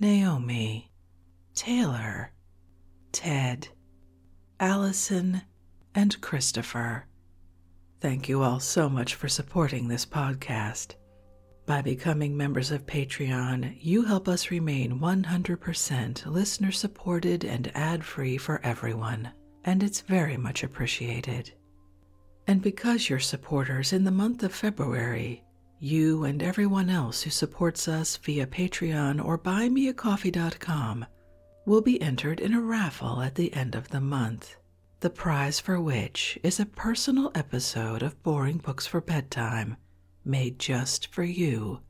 Naomi, Taylor, Ted, Allison, and Christopher. Thank you all so much for supporting this podcast. By becoming members of Patreon, you help us remain 100% listener supported and ad free for everyone, and it's very much appreciated. And because you're supporters in the month of February, you and everyone else who supports us via Patreon or buymeacoffee.com will be entered in a raffle at the end of the month, the prize for which is a personal episode of Boring Books for Bedtime made just for you.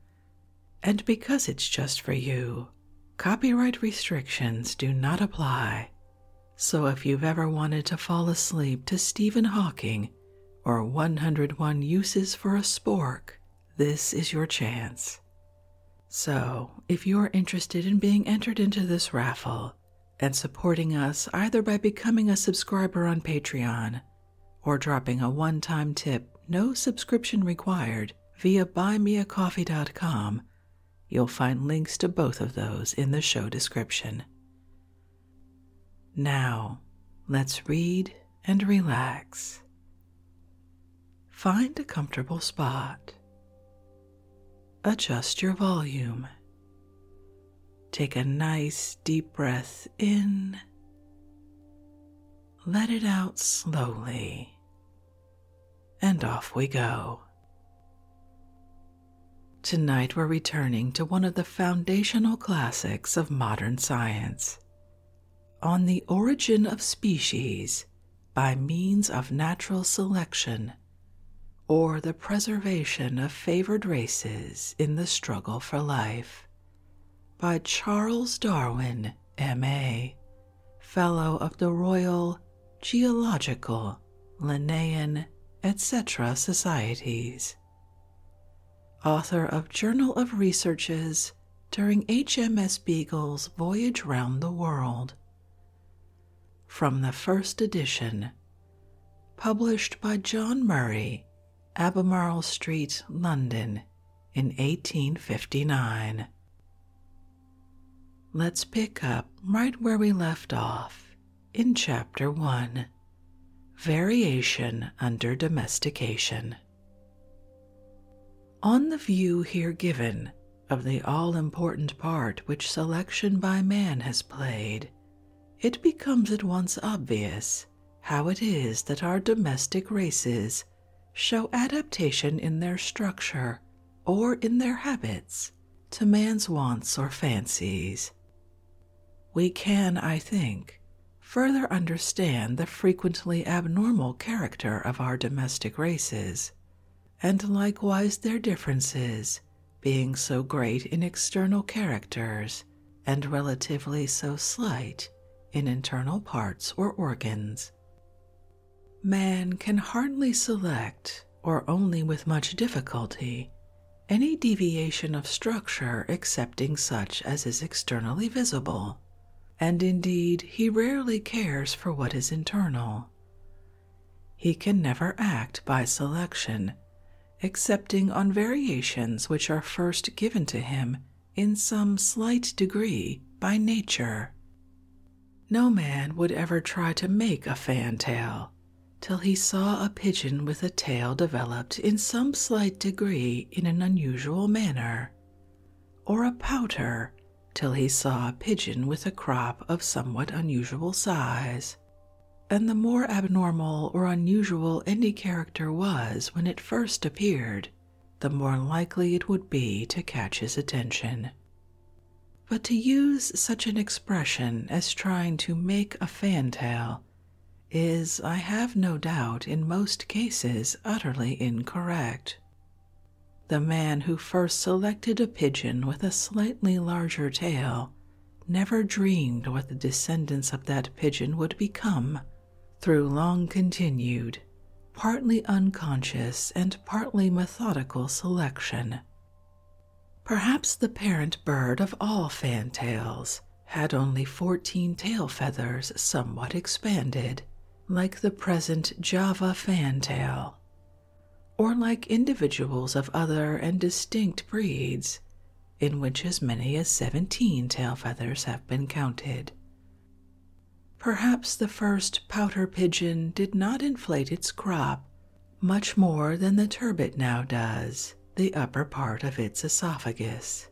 And because it's just for you, copyright restrictions do not apply. So if you've ever wanted to fall asleep to Stephen Hawking or 101 uses for a spork, this is your chance. So, if you're interested in being entered into this raffle and supporting us either by becoming a subscriber on Patreon or dropping a one time tip, no subscription required, via buymeacoffee.com, you'll find links to both of those in the show description. Now, let's read and relax. Find a comfortable spot. Adjust your volume. Take a nice deep breath in. Let it out slowly. And off we go. Tonight, we're returning to one of the foundational classics of modern science On the Origin of Species by Means of Natural Selection, or the Preservation of Favored Races in the Struggle for Life, by Charles Darwin, M.A., Fellow of the Royal Geological, Linnean, etc. Societies author of Journal of Researches during HMS Beagle's voyage round the world. From the first edition, published by John Murray, Albemarle Street, London, in 1859. Let's pick up right where we left off in Chapter 1 Variation under Domestication. On the view here given of the all important part which selection by man has played, it becomes at once obvious how it is that our domestic races show adaptation in their structure or in their habits to man's wants or fancies. We can, I think, further understand the frequently abnormal character of our domestic races, and likewise their differences, being so great in external characters and relatively so slight in internal parts or organs. Man can hardly select, or only with much difficulty, any deviation of structure excepting such as is externally visible, and indeed he rarely cares for what is internal. He can never act by selection, excepting on variations which are first given to him in some slight degree by nature. No man would ever try to make a fantail till he saw a pigeon with a tail developed in some slight degree in an unusual manner, or a pouter till he saw a pigeon with a crop of somewhat unusual size. And the more abnormal or unusual any character was when it first appeared, the more likely it would be to catch his attention. But to use such an expression as trying to make a fantail is, I have no doubt, in most cases utterly incorrect. The man who first selected a pigeon with a slightly larger tail never dreamed what the descendants of that pigeon would become through long continued, partly unconscious and partly methodical selection. Perhaps the parent bird of all fantails had only fourteen tail feathers somewhat expanded, like the present Java fantail, or like individuals of other and distinct breeds, in which as many as seventeen tail feathers have been counted. Perhaps the first pouter pigeon did not inflate its crop much more than the turbot now does the upper part of its esophagus,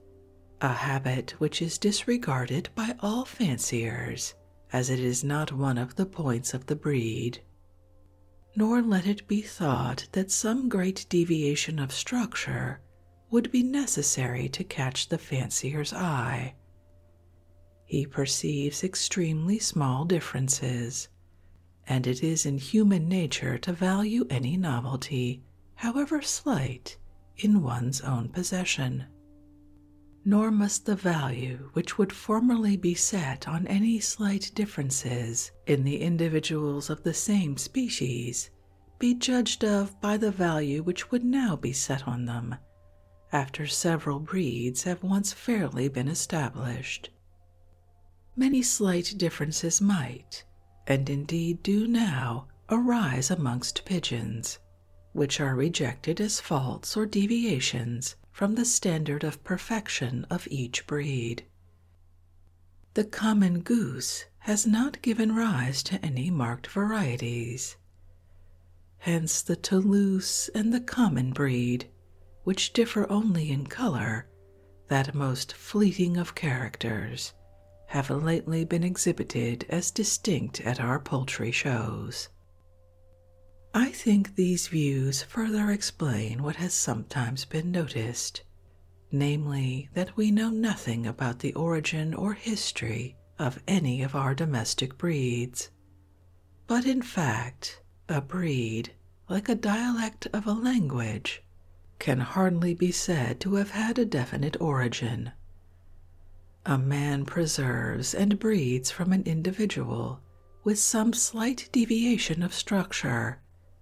a habit which is disregarded by all fanciers, as it is not one of the points of the breed. Nor let it be thought that some great deviation of structure would be necessary to catch the fancier's eye. He perceives extremely small differences, and it is in human nature to value any novelty however slight, in one's own possession. Nor must the value which would formerly be set on any slight differences in the individuals of the same species be judged of by the value which would now be set on them after several breeds have once fairly been established. Many slight differences might, and indeed do now arise amongst pigeons, which are rejected as faults or deviations from the standard of perfection of each breed. The common goose has not given rise to any marked varieties. Hence the Toulouse and the common breed, which differ only in color that most fleeting of characters have lately been exhibited as distinct at our poultry shows. I think these views further explain what has sometimes been noticed, namely, that we know nothing about the origin or history of any of our domestic breeds, but in fact, a breed, like a dialect of a language, can hardly be said to have had a definite origin. A man preserves and breeds from an individual with some slight deviation of structure,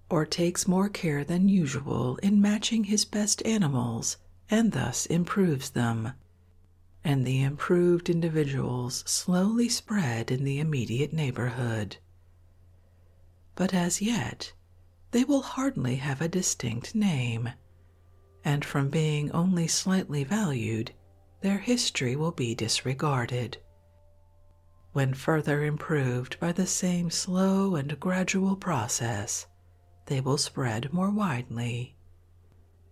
or takes more care than usual in matching his best animals and thus improves them. And the improved individuals slowly spread in the immediate neighborhood but as yet they will hardly have a distinct name, and from being only slightly valued, their history will be disregarded. When further improved by the same slow and gradual process, they will spread more widely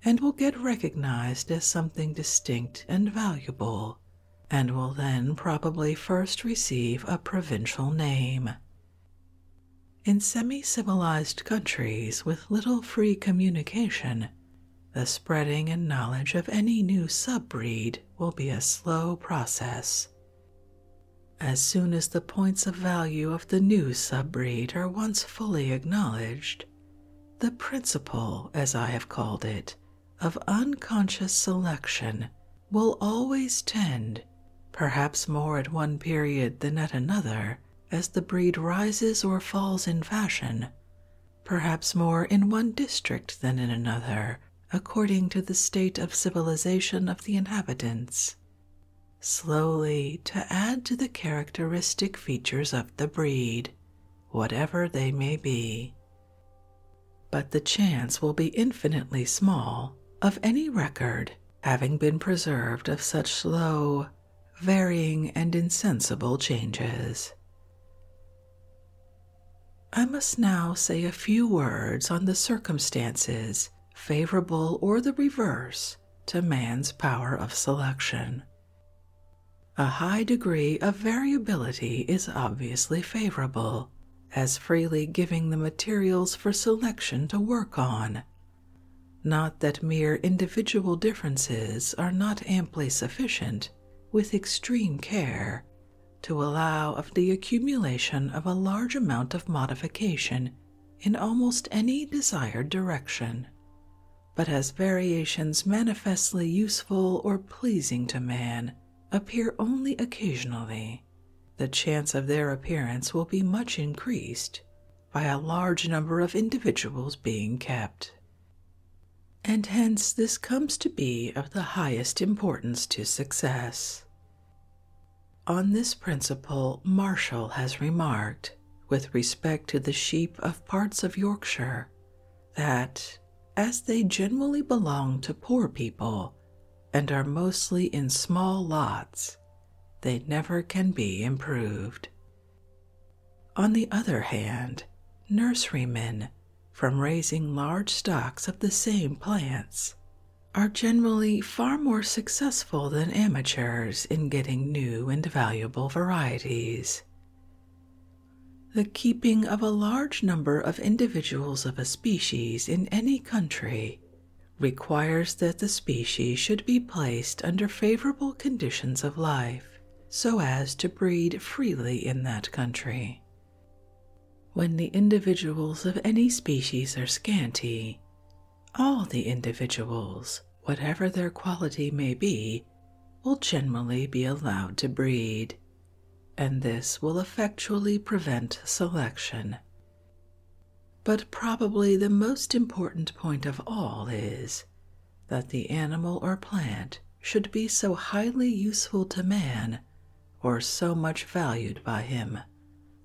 and will get recognized as something distinct and valuable, and will then probably first receive a provincial name. In semi civilized countries with little free communication, the spreading and knowledge of any new subbreed will be a slow process. As soon as the points of value of the new subbreed are once fully acknowledged, the principle, as I have called it, of unconscious selection will always tend, perhaps more at one period than at another, as the breed rises or falls in fashion, perhaps more in one district than in another, according to the state of civilization of the inhabitants. Slowly to add to the characteristic features of the breed, whatever they may be. But the chance will be infinitely small of any record having been preserved of such slow, varying, and insensible changes. I must now say a few words on the circumstances, favorable or the reverse, to man's power of selection. A high degree of variability is obviously favorable as freely giving the materials for selection to work on. Not that mere individual differences are not amply sufficient, with extreme care, to allow of the accumulation of a large amount of modification in almost any desired direction, but as variations manifestly useful or pleasing to man appear only occasionally the chance of their appearance will be much increased by a large number of individuals being kept. And hence this comes to be of the highest importance to success. On this principle, Marshall has remarked, with respect to the sheep of parts of Yorkshire, that, as they generally belong to poor people and are mostly in small lots, they never can be improved. On the other hand, nurserymen, from raising large stocks of the same plants, are generally far more successful than amateurs in getting new and valuable varieties. The keeping of a large number of individuals of a species in any country requires that the species should be placed under favorable conditions of life so as to breed freely in that country. When the individuals of any species are scanty, all the individuals, whatever their quality may be, will generally be allowed to breed, and this will effectually prevent selection but probably the most important point of all is that the animal or plant should be so highly useful to man or so much valued by him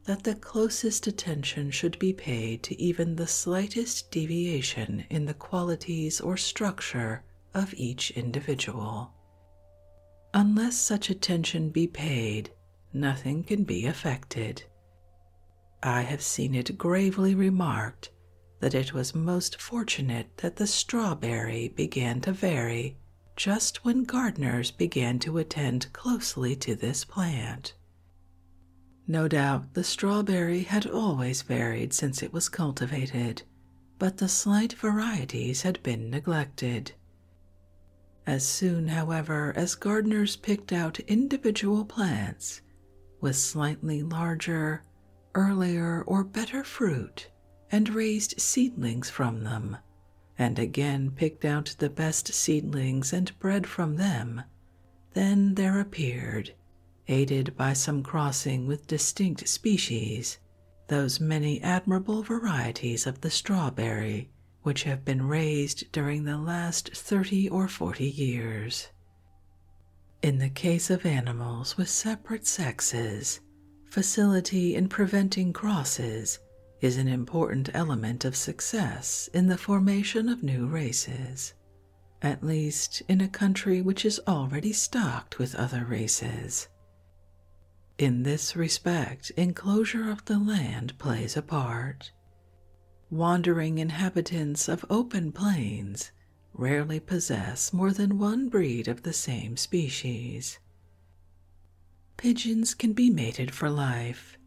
that the closest attention should be paid to even the slightest deviation in the qualities or structure of each individual. Unless such attention be paid, nothing can be affected. I have seen it gravely remarked that it was most fortunate that the strawberry began to vary just when gardeners began to attend closely to this plant. No doubt the strawberry had always varied since it was cultivated, but the slight varieties had been neglected. As soon, however, as gardeners picked out individual plants with slightly larger, earlier, or better fruit and raised seedlings from them, and again picked out the best seedlings and bred from them, then there appeared, aided by some crossing with distinct species, those many admirable varieties of the strawberry which have been raised during the last 30 or 40 years. In the case of animals with separate sexes, facility in preventing crosses is an important element of success in the formation of new races, at least in a country which is already stocked with other races. In this respect, enclosure of the land plays a part. Wandering inhabitants of open plains rarely possess more than one breed of the same species. Pigeons can be mated for life,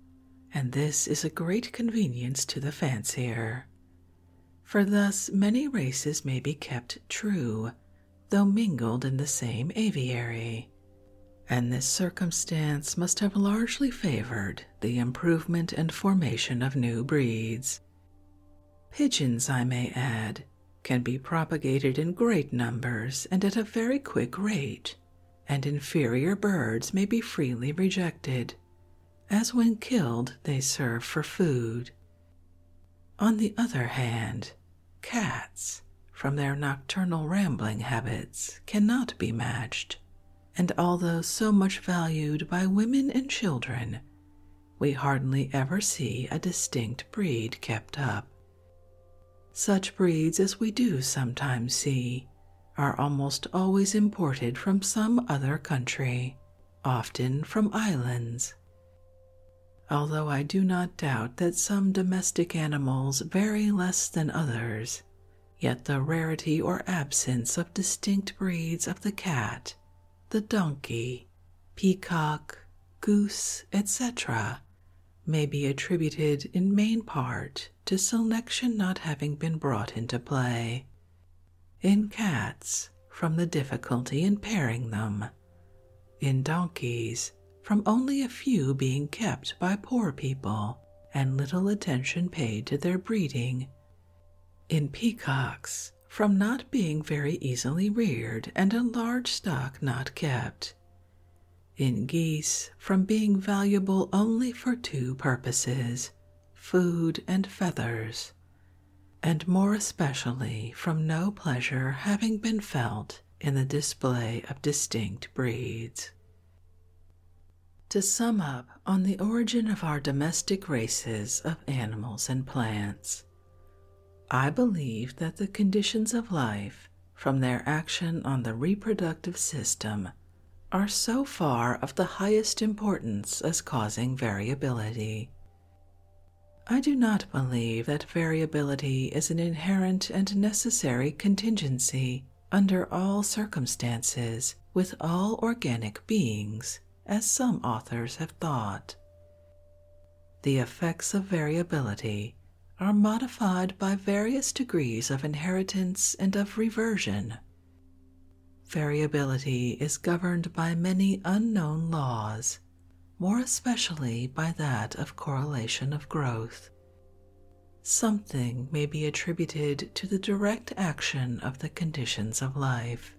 and this is a great convenience to the fancier, for thus many races may be kept true, though mingled in the same aviary and this circumstance must have largely favored the improvement and formation of new breeds. Pigeons, I may add, can be propagated in great numbers and at a very quick rate, and inferior birds may be freely rejected, as when killed they serve for food. On the other hand, cats from their nocturnal rambling habits cannot be matched, and although so much valued by women and children, we hardly ever see a distinct breed kept up. Such breeds as we do sometimes see are almost always imported from some other country, often from islands. Although I do not doubt that some domestic animals vary less than others, Yet the rarity or absence of distinct breeds of the cat, the donkey, peacock, goose, etc., may be attributed in main part to selection not having been brought into play. In cats, from the difficulty in pairing them. In donkeys, from only a few being kept by poor people and little attention paid to their breeding. In peacocks, from not being very easily reared and a large stock not kept. In geese, from being valuable only for two purposes food and feathers, and more especially from no pleasure having been felt in the display of distinct breeds. To sum up on the origin of our domestic races of animals and plants, I believe that the conditions of life from their action on the reproductive system are so far of the highest importance as causing variability. I do not believe that variability is an inherent and necessary contingency under all circumstances with all organic beings, as some authors have thought. The effects of variability are modified by various degrees of inheritance and of reversion. Variability is governed by many unknown laws, more especially by that of correlation of growth. Something may be attributed to the direct action of the conditions of life.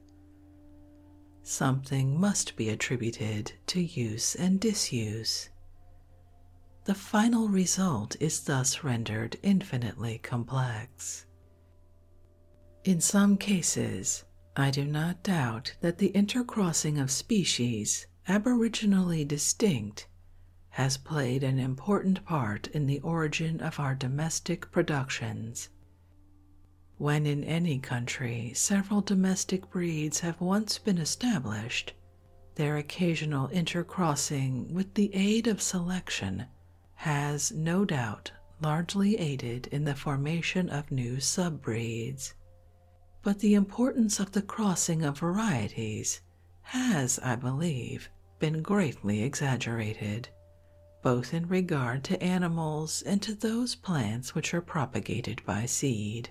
Something must be attributed to use and disuse. The final result is thus rendered infinitely complex. In some cases, I do not doubt that the intercrossing of species aboriginally distinct has played an important part in the origin of our domestic productions. When in any country several domestic breeds have once been established, their occasional intercrossing with the aid of selection has no doubt largely aided in the formation of new sub-breeds. But the importance of the crossing of varieties has, I believe, been greatly exaggerated, both in regard to animals and to those plants which are propagated by seed.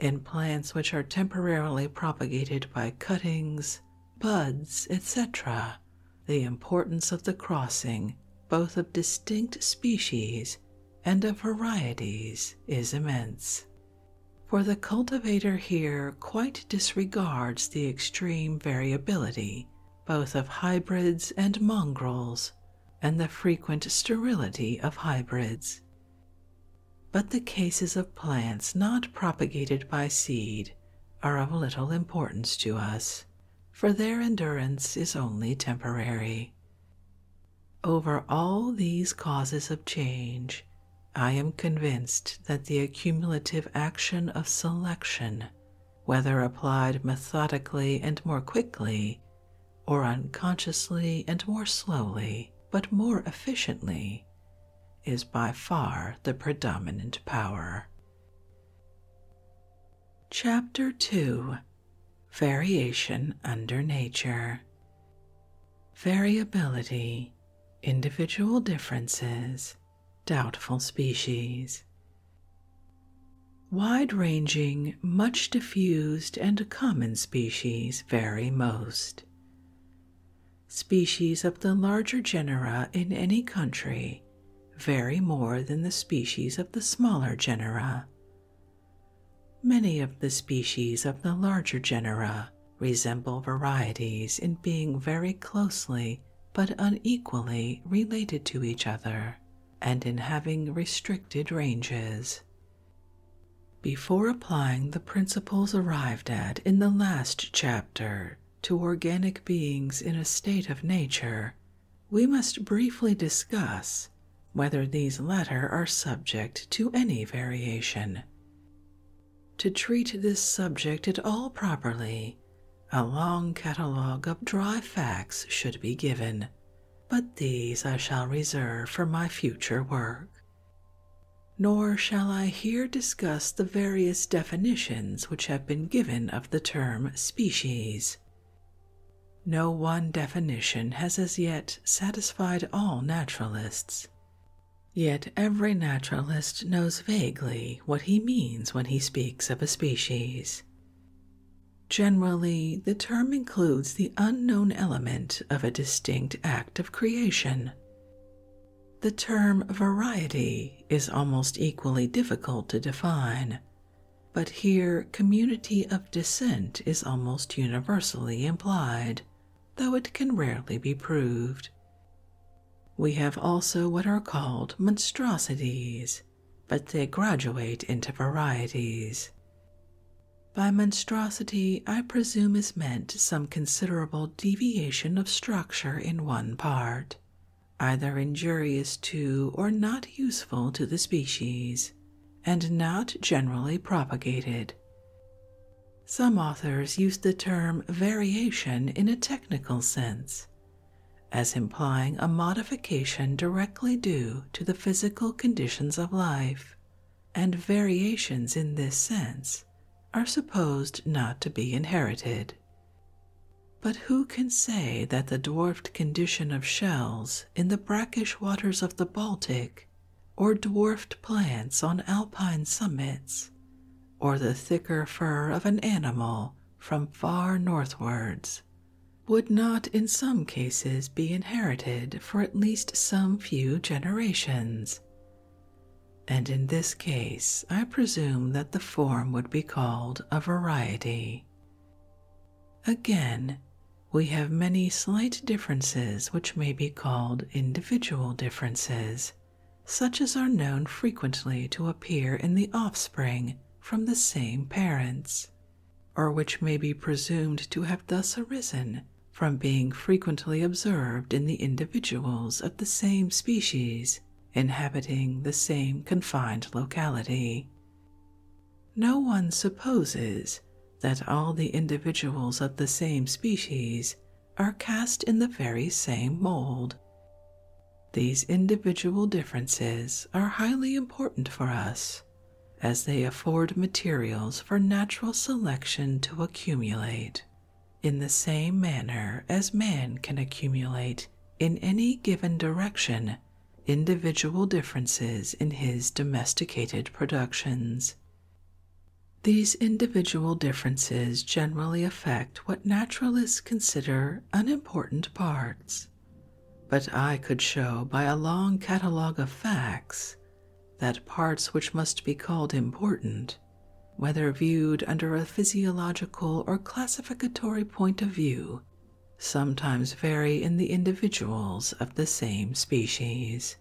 In plants which are temporarily propagated by cuttings, buds, etc., the importance of the crossing both of distinct species and of varieties is immense for the cultivator here quite disregards the extreme variability both of hybrids and mongrels and the frequent sterility of hybrids. But the cases of plants not propagated by seed are of little importance to us, for their endurance is only temporary. Over all these causes of change, I am convinced that the accumulative action of selection, whether applied methodically and more quickly, or unconsciously and more slowly, but more efficiently, is by far the predominant power. Chapter 2 Variation under Nature Variability individual differences, doubtful species. Wide ranging, much diffused, and common species vary most. Species of the larger genera in any country vary more than the species of the smaller genera. Many of the species of the larger genera resemble varieties in being very closely but unequally related to each other and in having restricted ranges. Before applying the principles arrived at in the last chapter to organic beings in a state of nature, we must briefly discuss whether these latter are subject to any variation. To treat this subject at all properly, a long catalogue of dry facts should be given, but these I shall reserve for my future work. Nor shall I here discuss the various definitions which have been given of the term species. No one definition has as yet satisfied all naturalists, Yet every naturalist knows vaguely what he means when he speaks of a species. Generally, the term includes the unknown element of a distinct act of creation. The term variety is almost equally difficult to define, but here community of descent is almost universally implied, though it can rarely be proved. We have also what are called monstrosities, but they graduate into varieties. By monstrosity, I presume is meant some considerable deviation of structure in one part, either injurious to or not useful to the species, and not generally propagated. Some authors use the term variation in a technical sense, as implying a modification directly due to the physical conditions of life, and variations in this sense are supposed not to be inherited. But who can say that the dwarfed condition of shells in the brackish waters of the Baltic, or dwarfed plants on alpine summits, or the thicker fur of an animal from far northwards, would not in some cases be inherited for at least some few generations. And in this case, I presume that the form would be called a variety. Again, we have many slight differences which may be called individual differences such as are known frequently to appear in the offspring from the same parents, or which may be presumed to have thus arisen from being frequently observed in the individuals of the same species inhabiting the same confined locality. No one supposes that all the individuals of the same species are cast in the very same mold. These individual differences are highly important for us as they afford materials for natural selection to accumulate in the same manner as man can accumulate in any given direction individual differences in his domesticated productions. These individual differences generally affect what naturalists consider unimportant parts, but I could show by a long catalogue of facts that parts which must be called important, whether viewed under a physiological or classificatory point of view, sometimes vary in the individuals of the same species.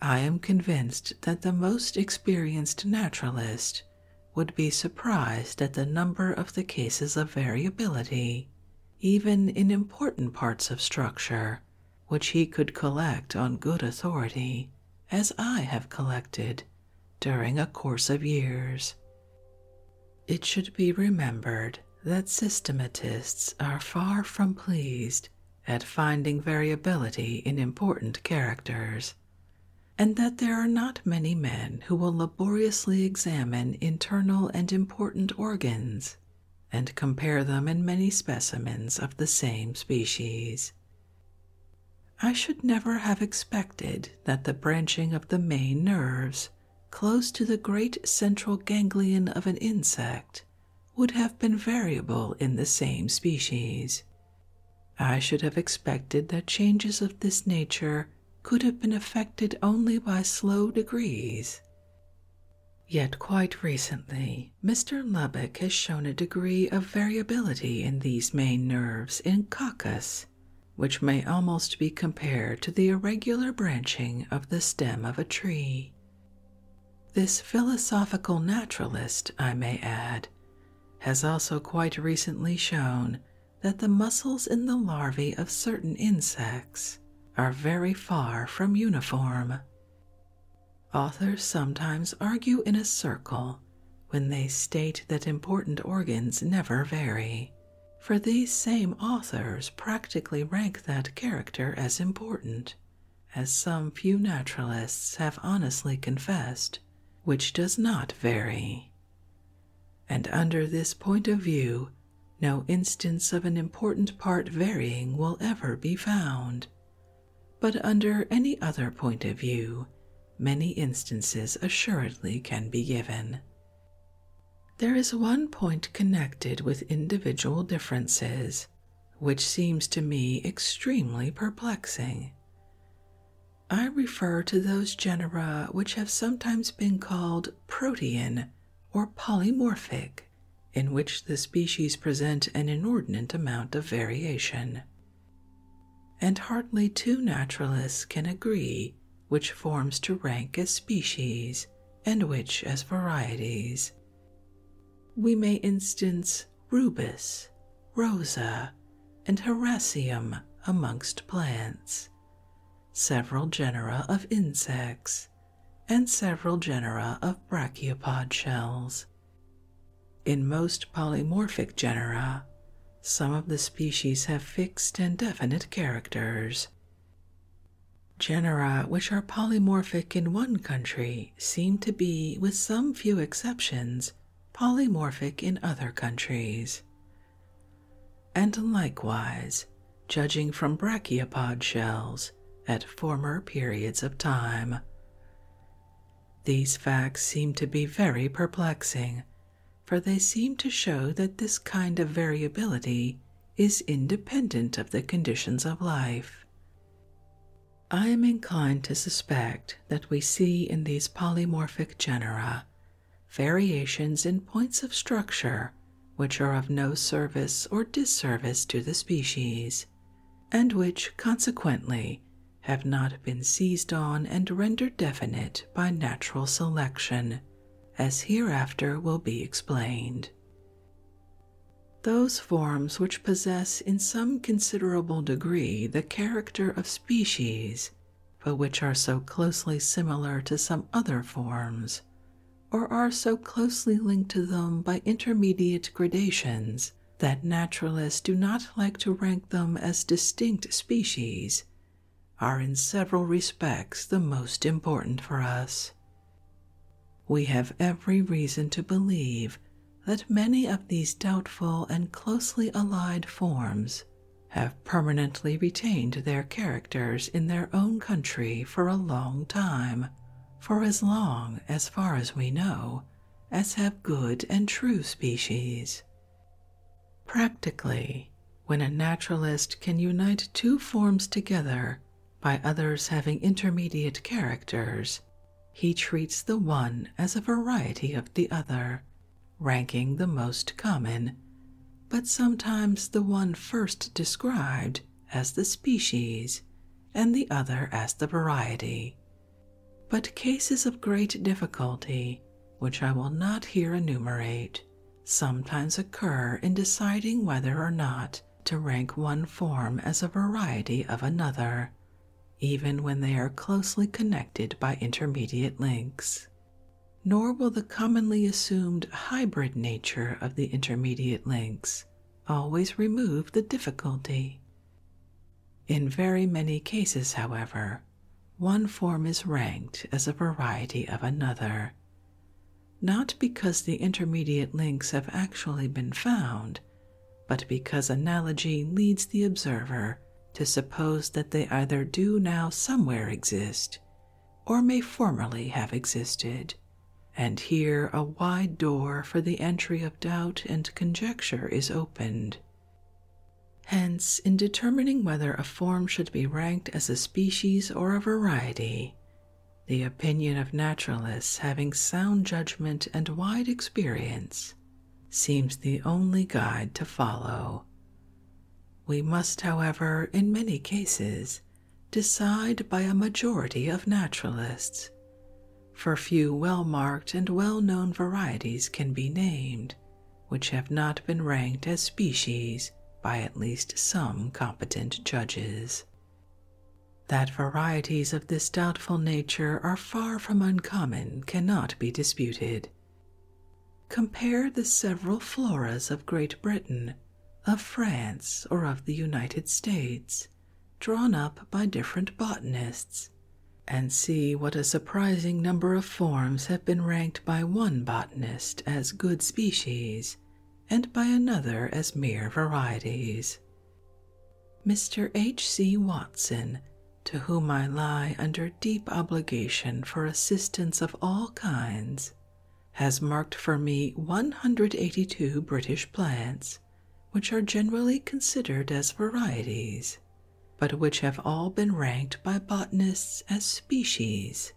I am convinced that the most experienced naturalist would be surprised at the number of the cases of variability, even in important parts of structure, which he could collect on good authority, as I have collected during a course of years. It should be remembered that systematists are far from pleased at finding variability in important characters and that there are not many men who will laboriously examine internal and important organs and compare them in many specimens of the same species. I should never have expected that the branching of the main nerves close to the great central ganglion of an insect would have been variable in the same species. I should have expected that changes of this nature could have been effected only by slow degrees. Yet quite recently, Mr. Lubbock has shown a degree of variability in these main nerves in coccus, which may almost be compared to the irregular branching of the stem of a tree. This philosophical naturalist, I may add, has also quite recently shown that the muscles in the larvae of certain insects are very far from uniform. Authors sometimes argue in a circle when they state that important organs never vary, for these same authors practically rank that character as important, as some few naturalists have honestly confessed which does not vary. And under this point of view, no instance of an important part varying will ever be found. But under any other point of view, many instances assuredly can be given. There is one point connected with individual differences which seems to me extremely perplexing. I refer to those genera which have sometimes been called protean or polymorphic, in which the species present an inordinate amount of variation. And hardly two naturalists can agree which forms to rank as species and which as varieties. We may instance Rubus, Rosa, and Hyracium amongst plants, several genera of insects, and several genera of brachiopod shells. In most polymorphic genera, some of the species have fixed and definite characters. Genera which are polymorphic in one country seem to be, with some few exceptions, polymorphic in other countries. And likewise, judging from brachiopod shells at former periods of time. These facts seem to be very perplexing, for they seem to show that this kind of variability is independent of the conditions of life. I am inclined to suspect that we see in these polymorphic genera variations in points of structure which are of no service or disservice to the species, and which consequently have not been seized on and rendered definite by natural selection, as hereafter will be explained. Those forms which possess in some considerable degree the character of species, but which are so closely similar to some other forms, or are so closely linked to them by intermediate gradations that naturalists do not like to rank them as distinct species, are in several respects the most important for us. We have every reason to believe that many of these doubtful and closely allied forms have permanently retained their characters in their own country for a long time, for as long, as far as we know, as have good and true species. Practically, when a naturalist can unite two forms together by others having intermediate characters, he treats the one as a variety of the other ranking the most common, but sometimes the one first described as the species and the other as the variety. But cases of great difficulty, which I will not here enumerate, sometimes occur in deciding whether or not to rank one form as a variety of another, even when they are closely connected by intermediate links. Nor will the commonly assumed hybrid nature of the intermediate links always remove the difficulty. In very many cases, however, one form is ranked as a variety of another, not because the intermediate links have actually been found, but because analogy leads the observer to suppose that they either do now somewhere exist or may formerly have existed, and here a wide door for the entry of doubt and conjecture is opened. Hence, in determining whether a form should be ranked as a species or a variety, the opinion of naturalists having sound judgment and wide experience seems the only guide to follow. We must, however, in many cases, decide by a majority of naturalists, for few well marked and well known varieties can be named which have not been ranked as species by at least some competent judges. That varieties of this doubtful nature are far from uncommon cannot be disputed, Compare the several floras of Great Britain, of France, or of the United States, drawn up by different botanists, and see what a surprising number of forms have been ranked by one botanist as good species and by another as mere varieties. Mr. H. C. Watson to whom I lie under deep obligation for assistance of all kinds, has marked for me 182 British plants, which are generally considered as varieties, but which have all been ranked by botanists as species,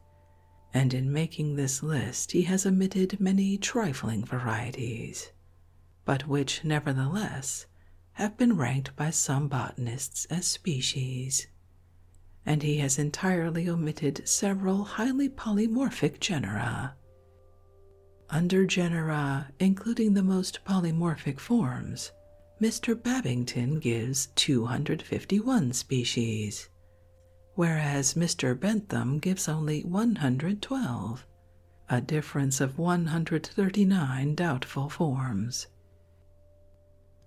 and in making this list he has omitted many trifling varieties, but which nevertheless have been ranked by some botanists as species, and he has entirely omitted several highly polymorphic genera. Under genera, including the most polymorphic forms, Mr. Babington gives 251 species, whereas Mr. Bentham gives only 112, a difference of 139 doubtful forms.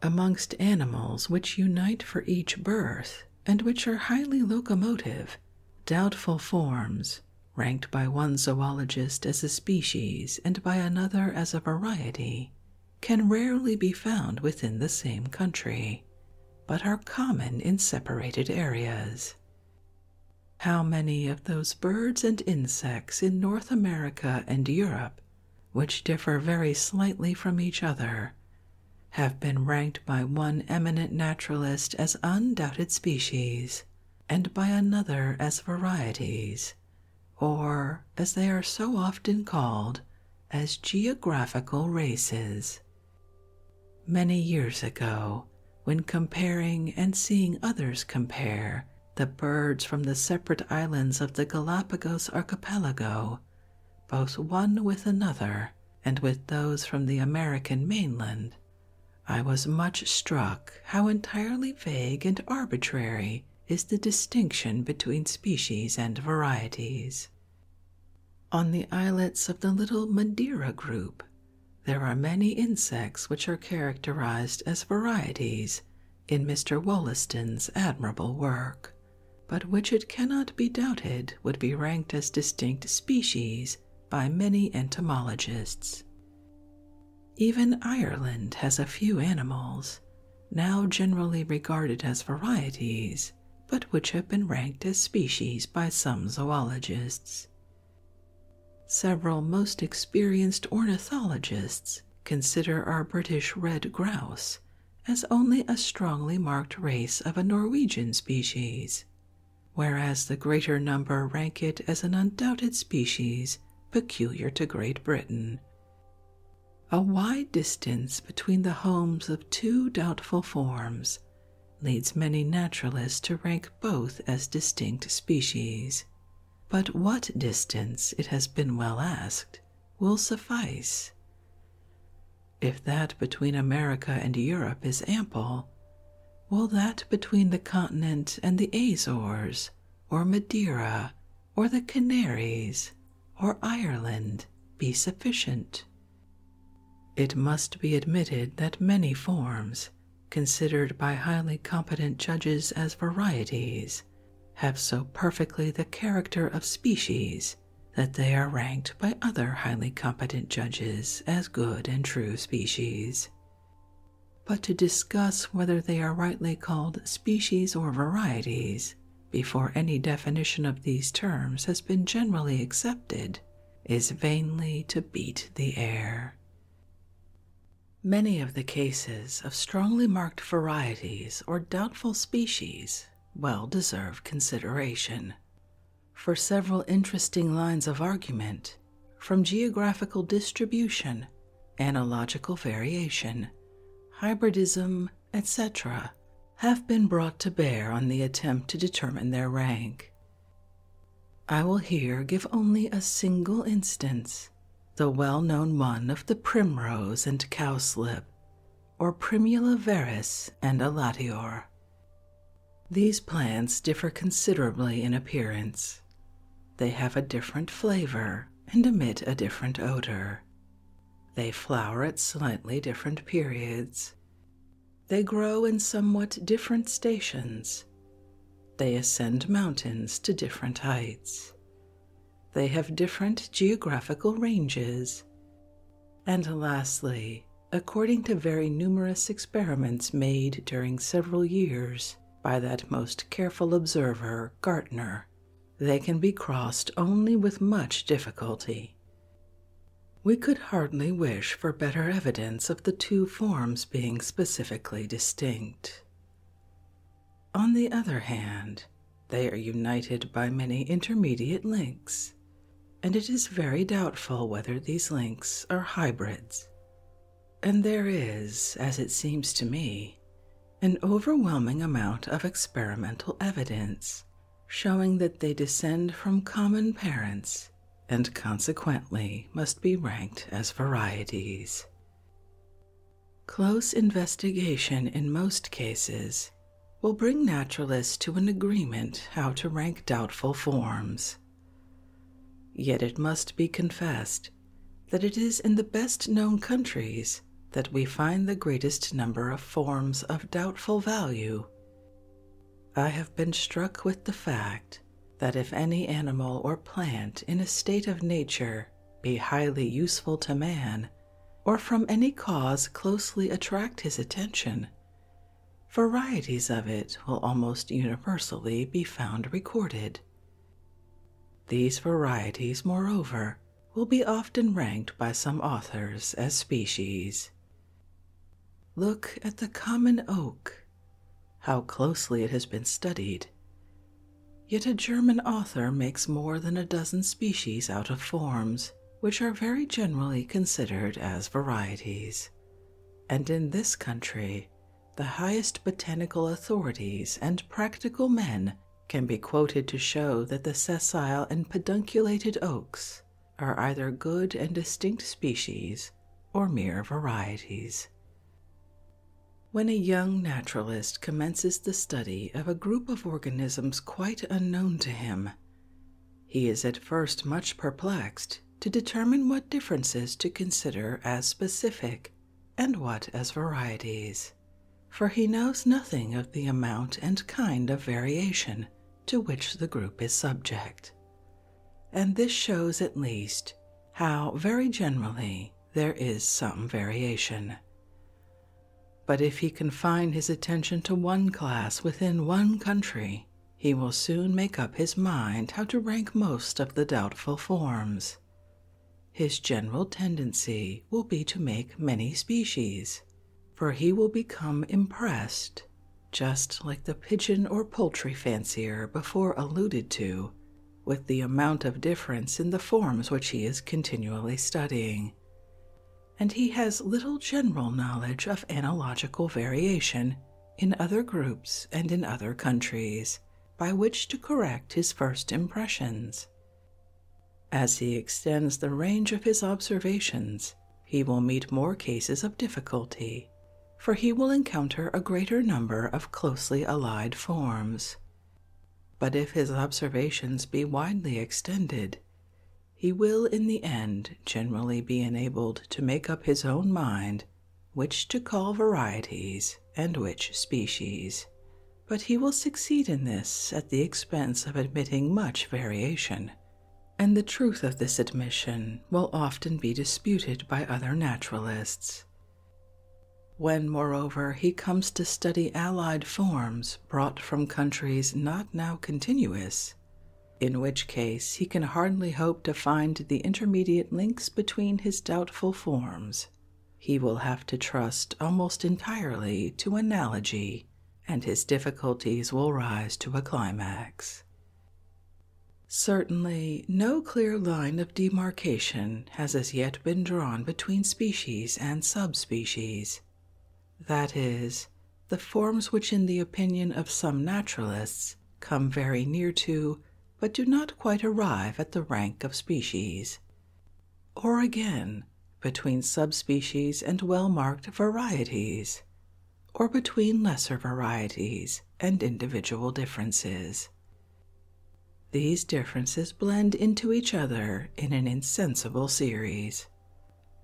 Amongst animals which unite for each birth and which are highly locomotive, doubtful forms, ranked by one zoologist as a species and by another as a variety, can rarely be found within the same country, but are common in separated areas. How many of those birds and insects in North America and Europe which differ very slightly from each other, have been ranked by one eminent naturalist as undoubted species, and by another as varieties, or, as they are so often called, as geographical races. Many years ago, when comparing and seeing others compare the birds from the separate islands of the Galapagos archipelago, both one with another and with those from the American mainland, I was much struck how entirely vague and arbitrary is the distinction between species and varieties. On the islets of the little Madeira group, there are many insects which are characterized as varieties in Mr. Wollaston's admirable work, but which it cannot be doubted would be ranked as distinct species by many entomologists. Even Ireland has a few animals, now generally regarded as varieties, but which have been ranked as species by some zoologists. Several most experienced ornithologists consider our British red grouse as only a strongly marked race of a Norwegian species, whereas the greater number rank it as an undoubted species peculiar to Great Britain. A wide distance between the homes of two doubtful forms leads many naturalists to rank both as distinct species. But what distance, it has been well asked, will suffice? If that between America and Europe is ample, will that between the continent and the Azores, or Madeira, or the Canaries, or Ireland be sufficient? It must be admitted that many forms, considered by highly competent judges as varieties, have so perfectly the character of species that they are ranked by other highly competent judges as good and true species. But to discuss whether they are rightly called species or varieties, before any definition of these terms has been generally accepted, is vainly to beat the air. Many of the cases of strongly marked varieties or doubtful species well deserve consideration. For several interesting lines of argument, from geographical distribution, analogical variation, hybridism, etc., have been brought to bear on the attempt to determine their rank. I will here give only a single instance the well known one of the primrose and cowslip, or Primula veris and allatior. These plants differ considerably in appearance. They have a different flavor and emit a different odor. They flower at slightly different periods. They grow in somewhat different stations. They ascend mountains to different heights. They have different geographical ranges. And lastly, according to very numerous experiments made during several years by that most careful observer, Gartner, they can be crossed only with much difficulty. We could hardly wish for better evidence of the two forms being specifically distinct. On the other hand, they are united by many intermediate links, and it is very doubtful whether these links are hybrids. And there is, as it seems to me, an overwhelming amount of experimental evidence showing that they descend from common parents and consequently must be ranked as varieties. Close investigation in most cases will bring naturalists to an agreement how to rank doubtful forms. Yet it must be confessed that it is in the best known countries that we find the greatest number of forms of doubtful value. I have been struck with the fact that if any animal or plant in a state of nature be highly useful to man, or from any cause closely attract his attention. Varieties of it will almost universally be found recorded. These varieties, moreover, will be often ranked by some authors as species. Look at the common oak, how closely it has been studied, Yet a German author makes more than a dozen species out of forms, which are very generally considered as varieties. And in this country, the highest botanical authorities and practical men can be quoted to show that the sessile and pedunculated oaks are either good and distinct species or mere varieties. When a young naturalist commences the study of a group of organisms quite unknown to him, he is at first much perplexed to determine what differences to consider as specific and what as varieties, for he knows nothing of the amount and kind of variation to which the group is subject. And this shows at least how very generally there is some variation. But if he confine his attention to one class within one country, he will soon make up his mind how to rank most of the doubtful forms. His general tendency will be to make many species, for he will become impressed, just like the pigeon or poultry fancier before alluded to, with the amount of in the forms which he is continually studying, and he has little general knowledge of analogical variation in other groups and in other countries by which to correct his first impressions. As he extends the range of his observations, he will meet more cases of difficulty, for he will encounter a greater number of closely allied forms. But if his observations be widely extended, he will in the end generally be enabled to make up his own mind which to call varieties and which species. But he will succeed in this at the expense of admitting much variation, and the truth of this admission will often be disputed by other naturalists. When, moreover, he comes to study allied forms brought from countries not now continuous, in which case he can hardly hope to find the intermediate links between his doubtful forms. He will have to trust almost entirely to analogy, and his difficulties will rise to a climax. Certainly, no clear line of demarcation has as yet been drawn between species and subspecies that is, the forms which, in the opinion of some naturalists, come very near to, but do not quite arrive at the rank of species. Or again, between subspecies and well marked varieties, or between lesser varieties and individual differences. These differences blend into each other in an insensible series,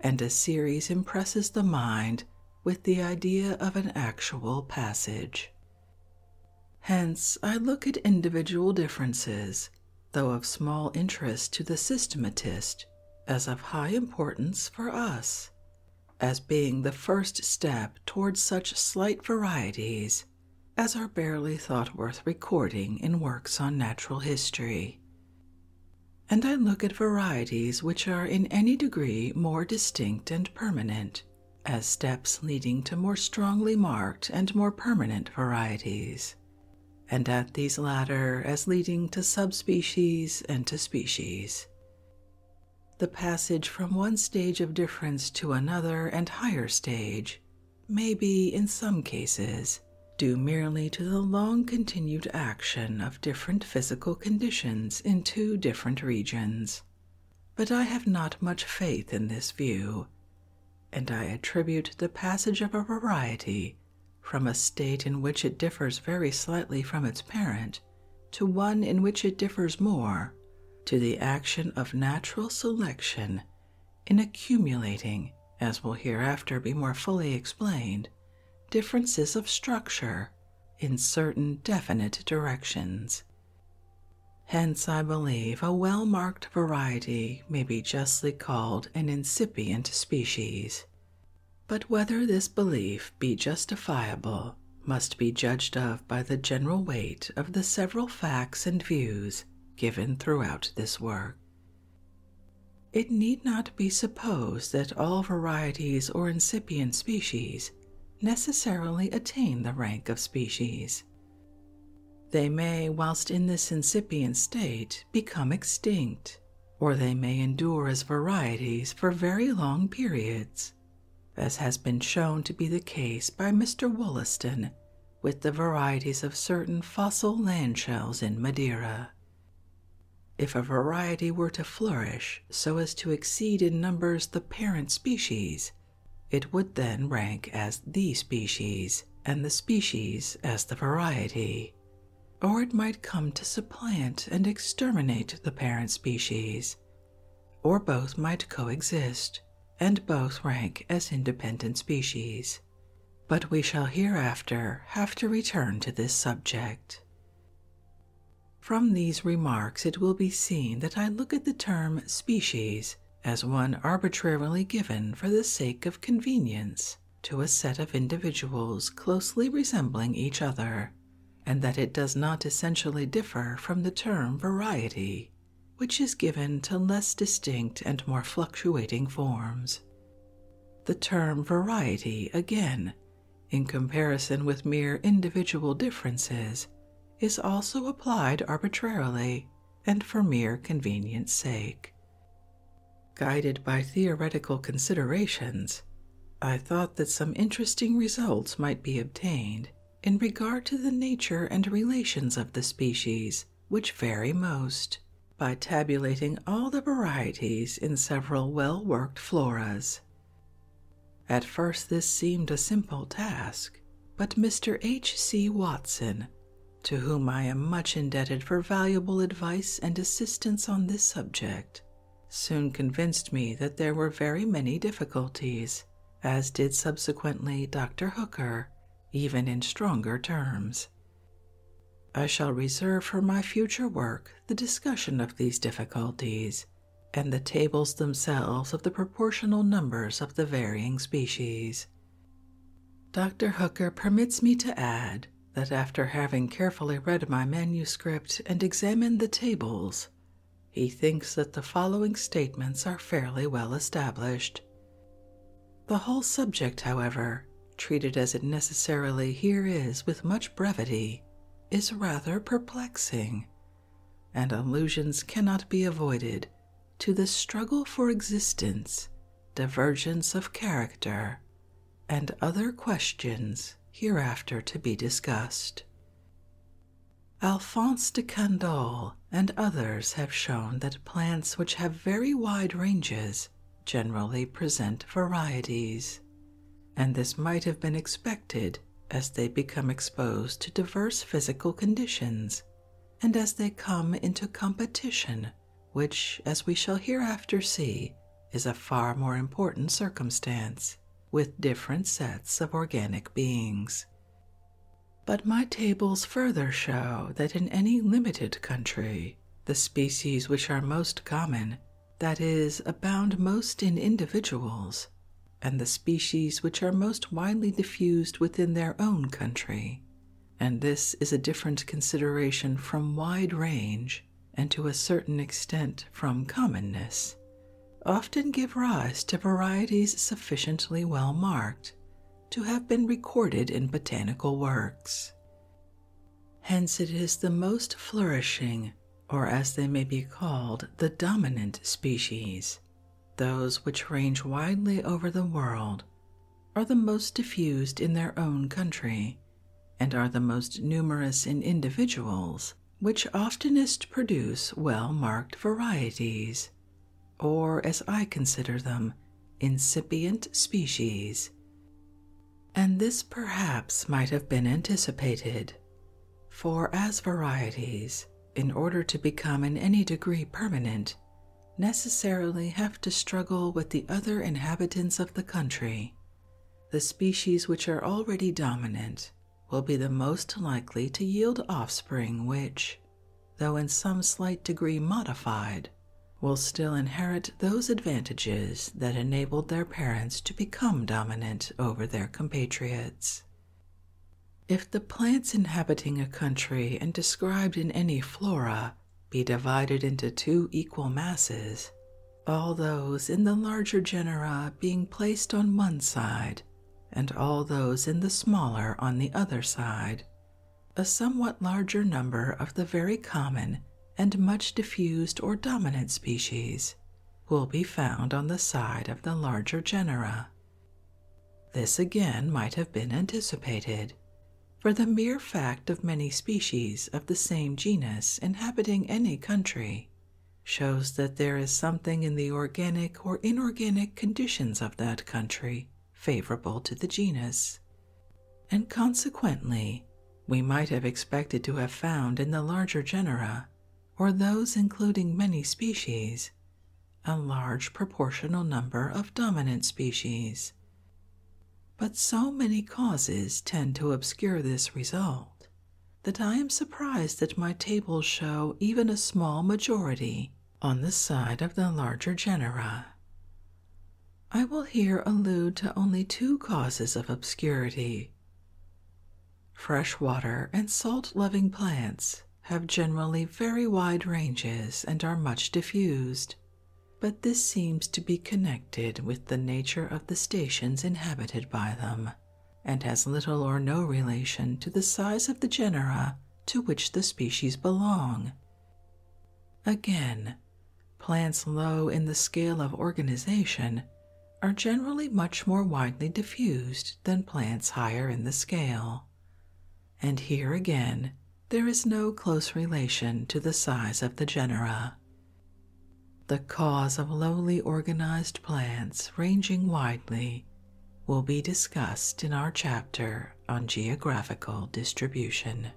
and a series impresses the mind with the idea of an actual passage. Hence, I look at individual differences, though of small interest to the systematist, as of high importance for us, as being the first step towards such slight varieties as are barely thought worth recording in works on natural history. And I look at varieties which are in any degree more distinct and permanent, as steps leading to more strongly marked and more permanent varieties, and at these latter as leading to subspecies and to species. The passage from one stage of difference to another and higher stage may be in some cases due merely to the long continued action of different physical conditions in two different regions. But I have not much faith in this view, and I attribute the passage of a variety from a state in which it differs very slightly from its parent to one in which it differs more to the action of natural selection in accumulating, as will hereafter be more fully explained, differences of structure in certain definite directions. Hence, I believe a well marked variety may be justly called an incipient species. But whether this belief be justifiable must be judged of by the general weight of the several facts and views given throughout this work, it need not be supposed that all varieties or incipient species necessarily attain the rank of species. They may, whilst in this incipient state, become extinct, or they may endure as varieties for very long periods, as has been shown to be the case by Mr. Wollaston with the varieties of certain fossil land shells in Madeira. If a variety were to flourish so as to exceed in numbers the parent species, it would then rank as the species and the species as the variety. Or it might come to supplant and exterminate the parent species, or both might coexist and both rank as independent species but we shall hereafter have to return to this subject. From these remarks, it will be seen that I look at the term species as one arbitrarily given for the sake of convenience to a set of individuals closely resembling each other, and that it does not essentially differ from the term variety, which is given to less distinct and more fluctuating forms. The term variety, again, in comparison with mere individual differences, is also applied arbitrarily and for mere convenience sake. Guided by theoretical considerations, I thought that some interesting results might be obtained in regard to the nature and relations of the species which vary most, by tabulating all the varieties in several well worked floras. At first, this seemed a simple task, but Mr. H. C. Watson, to whom I am much indebted for valuable advice and assistance on this subject, soon convinced me that there were very many difficulties, as did subsequently Dr. Hooker, even in stronger terms. I shall reserve for my future work the discussion of these difficulties and the tables themselves of the proportional numbers of the varying species. Dr. Hooker permits me to add that after having carefully read my manuscript and examined the tables, he thinks that the following statements are fairly well established. The whole subject, however, treated as it necessarily here is with much brevity, is rather perplexing, and allusions cannot be avoided to the struggle for existence, divergence of character, and other questions hereafter to be discussed. Alphonse de Candolle and others have shown that plants which have very wide ranges generally present varieties, and this might have been expected as they become exposed to diverse physical conditions and as they come into competition, which, as we shall hereafter see, is a far more important circumstance with different sets of organic beings. But my tables further show that in any limited country, the species which are most common, that is, abound most in individuals, and the species which are most widely diffused within their own country. And this is a different consideration from wide range, and to a certain extent from commonness, often give rise to varieties sufficiently well marked to have been recorded in botanical works. Hence, it is the most flourishing, or as they may be called, the dominant species. Those which range widely over the world are the most diffused in their own country and are the most numerous in individuals, which oftenest produce well marked varieties, or as I consider them, incipient species. And this perhaps might have been anticipated, for as varieties, in order to become in any degree permanent, necessarily have to struggle with the other inhabitants of the country, the species which are already dominant will be the most likely to yield offspring which, though in some slight degree modified, will still inherit those advantages that enabled their parents to become dominant over their compatriots. If the plants inhabiting a country and described in any flora be divided into two equal masses, all those in the larger genera being placed on one side, and all those in the smaller on the other side, a somewhat larger number of the very common and much diffused or dominant species will be found on the side of the larger genera. This again might have been anticipated, for the mere fact of many species of the same genus inhabiting any country shows that there is something in the organic or inorganic conditions of that country favorable to the genus and consequently we might have expected to have found in the larger genera, or those including many species, a large proportional number of dominant species. But so many causes tend to obscure this result that I am surprised that my tables show even a small majority on the side of the larger genera. I will here allude to only two causes of obscurity. Fresh water and salt loving plants have generally very wide ranges and are much diffused, but this seems to be connected with the nature of the stations inhabited by them and has little or no relation to the size of the genera to which the species belong. Again, Plants low in the scale of organization are generally much more widely diffused than plants higher in the scale. And here again, there is no close relation to the size of the genera. The cause of lowly organized plants ranging widely will be discussed in our chapter on geographical distribution.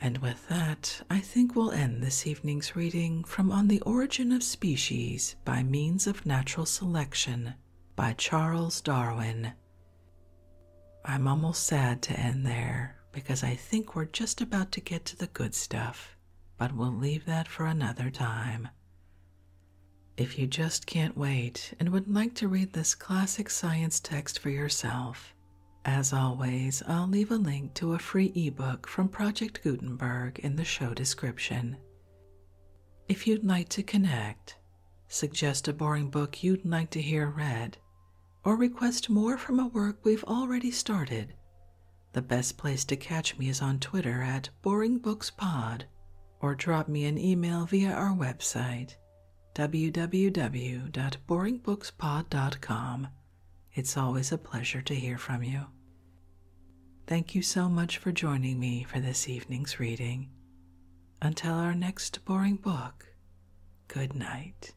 And with that, I think we'll end this evening's reading from On the Origin of Species by Means of Natural Selection by Charles Darwin. I'm almost sad to end there because I think we're just about to get to the good stuff, but we'll leave that for another time. If you just can't wait and would like to read this classic science text for yourself, as always, I'll leave a link to a free ebook from Project Gutenberg in the show description. If you'd like to connect, suggest a boring book you'd like to hear read, or request more from a work we've already started, the best place to catch me is on Twitter at BoringBooksPod or drop me an email via our website www.boringbookspod.com. It's always a pleasure to hear from you. Thank you so much for joining me for this evening's reading. Until our next boring book, good night.